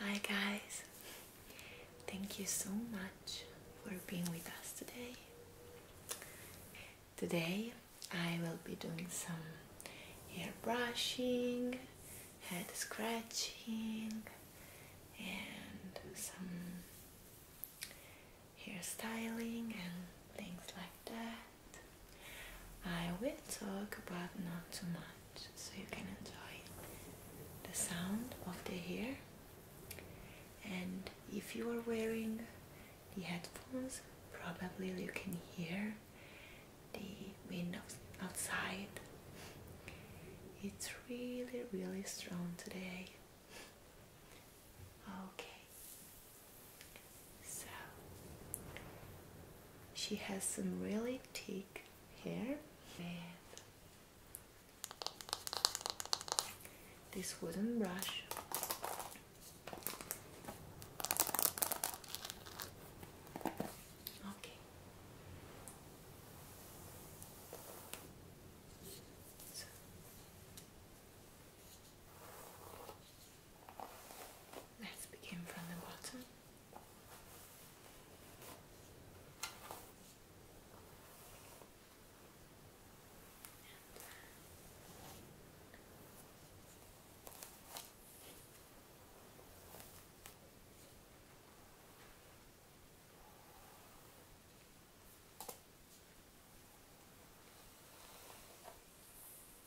Hi guys, thank you so much for being with us today. Today I will be doing some hair brushing, head scratching and some hair styling and things like that. I will talk about not too much so you can enjoy the sound of the hair and if you are wearing the headphones probably you can hear the wind outside it's really really strong today Okay. So she has some really thick hair with this wooden brush. Okay. So. Let's begin from the bottom.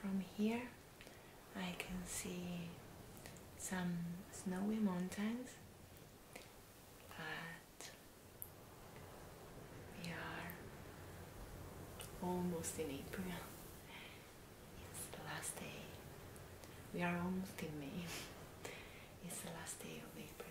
From here I can see some snowy mountains but we are almost in April. It's the last day. We are almost in May. It's the last day of April.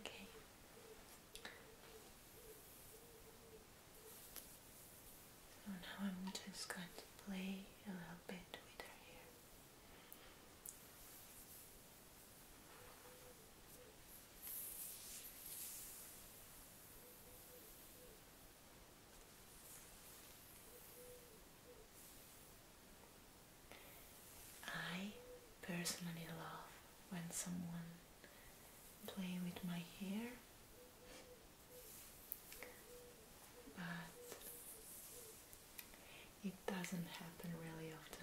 Okay. So now I'm just going to play a little bit with her hair. I personally love when someone plays with my hair but it doesn't happen really often.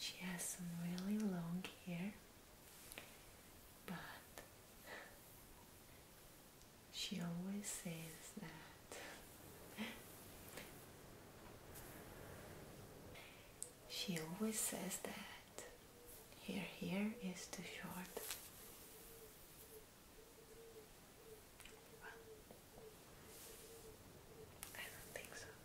She has some really long hair, but she always says that she always says that Here, here is is too short. I don't think so.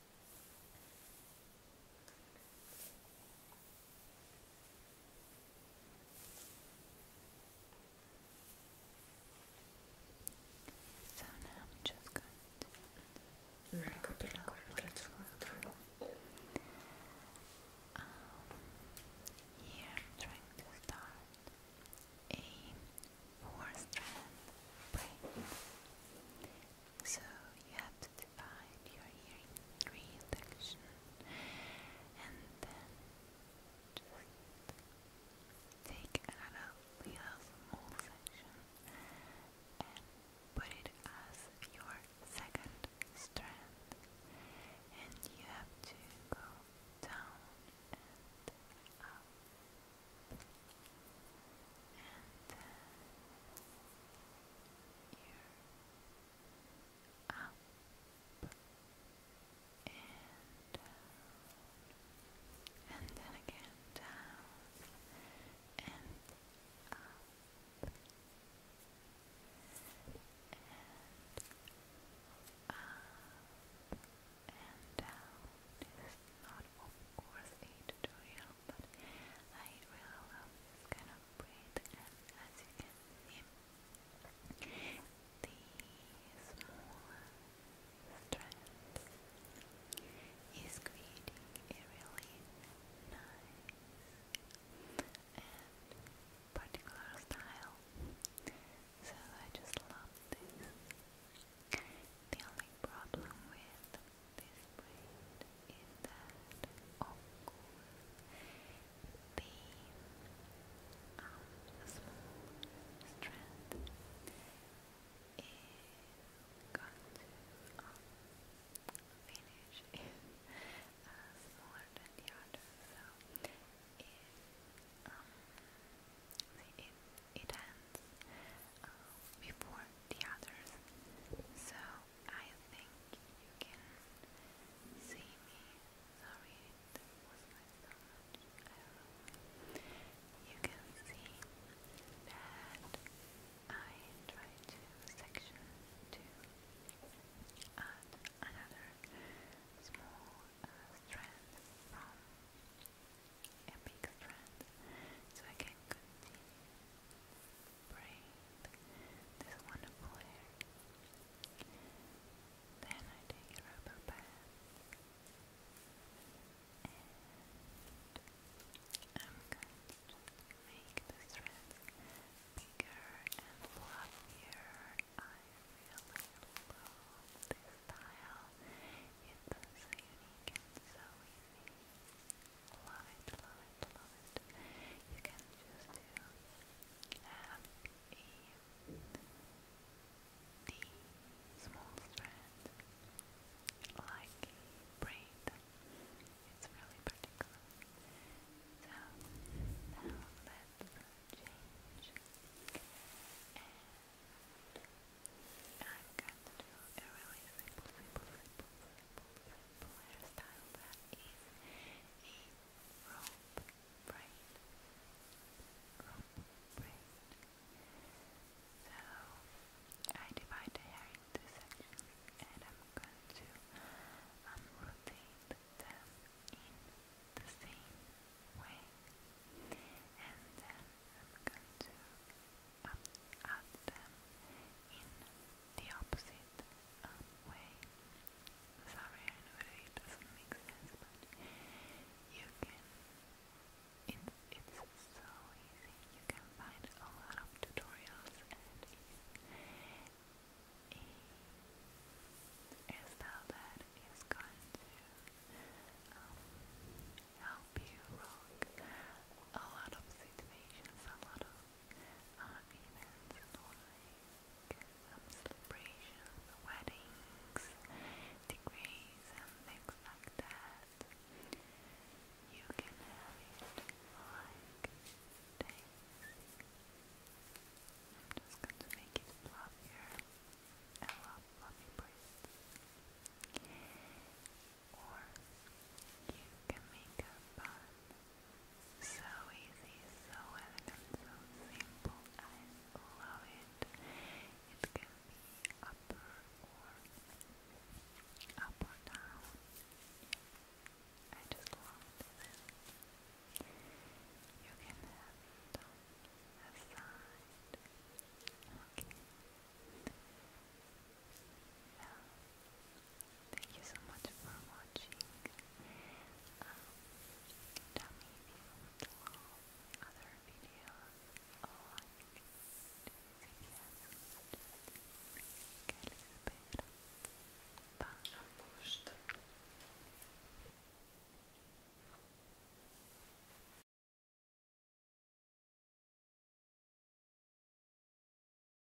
So now i just going to wrap it up through. Um, here trying to start a four strand braid so you have to divide your hearing reduction and then just take out little small section and put it as your second strand and you have to go down and up and uh, up and down, and then again down and up and up and down. This is not, of course, a tutorial but I really love this kind of print as you can see the smaller strand is creating a really nice and particular style so I just love this the only problem with this brand is that, of course, the um, strand is going to finish is uh, smaller than so it, ends uh, before the others, so I think you can see me. Sorry, it was like so much. You can see that I try to section to another small uh, strand from a big strand so I can breathe this wonderful air. Then I take a rubber bath I'm going to make the threads bigger and fluffier. I really love this style. It's so unique so easy. Love You can just do M, E, D, small strand, like braid. It's really particular. So now let's change. And I'm going to do a really simple, simple, simple, simple, simple simple hairstyle So I divide the hair into sections and I'm going to unrotate them in the same way. And then I'm going to up, them in the opposite um, way. Sorry, I know it doesn't make sense, but you can. It's, so easy. You can find a lot of tutorials and a, a that is going to um, help you rock a lot of situations, a lot of uh, events like celebrations, weddings, degrees and things like that. You can have it like this. just going to make it fluffier. I love fluffy Or you can make a bun so easy, so elegant, so simple. I love it. It can be up or down. I just love this. You can have it on a side. Okay thank you so much for watching. Um, tell me if you would other videos or like to see them. Just get a Bye.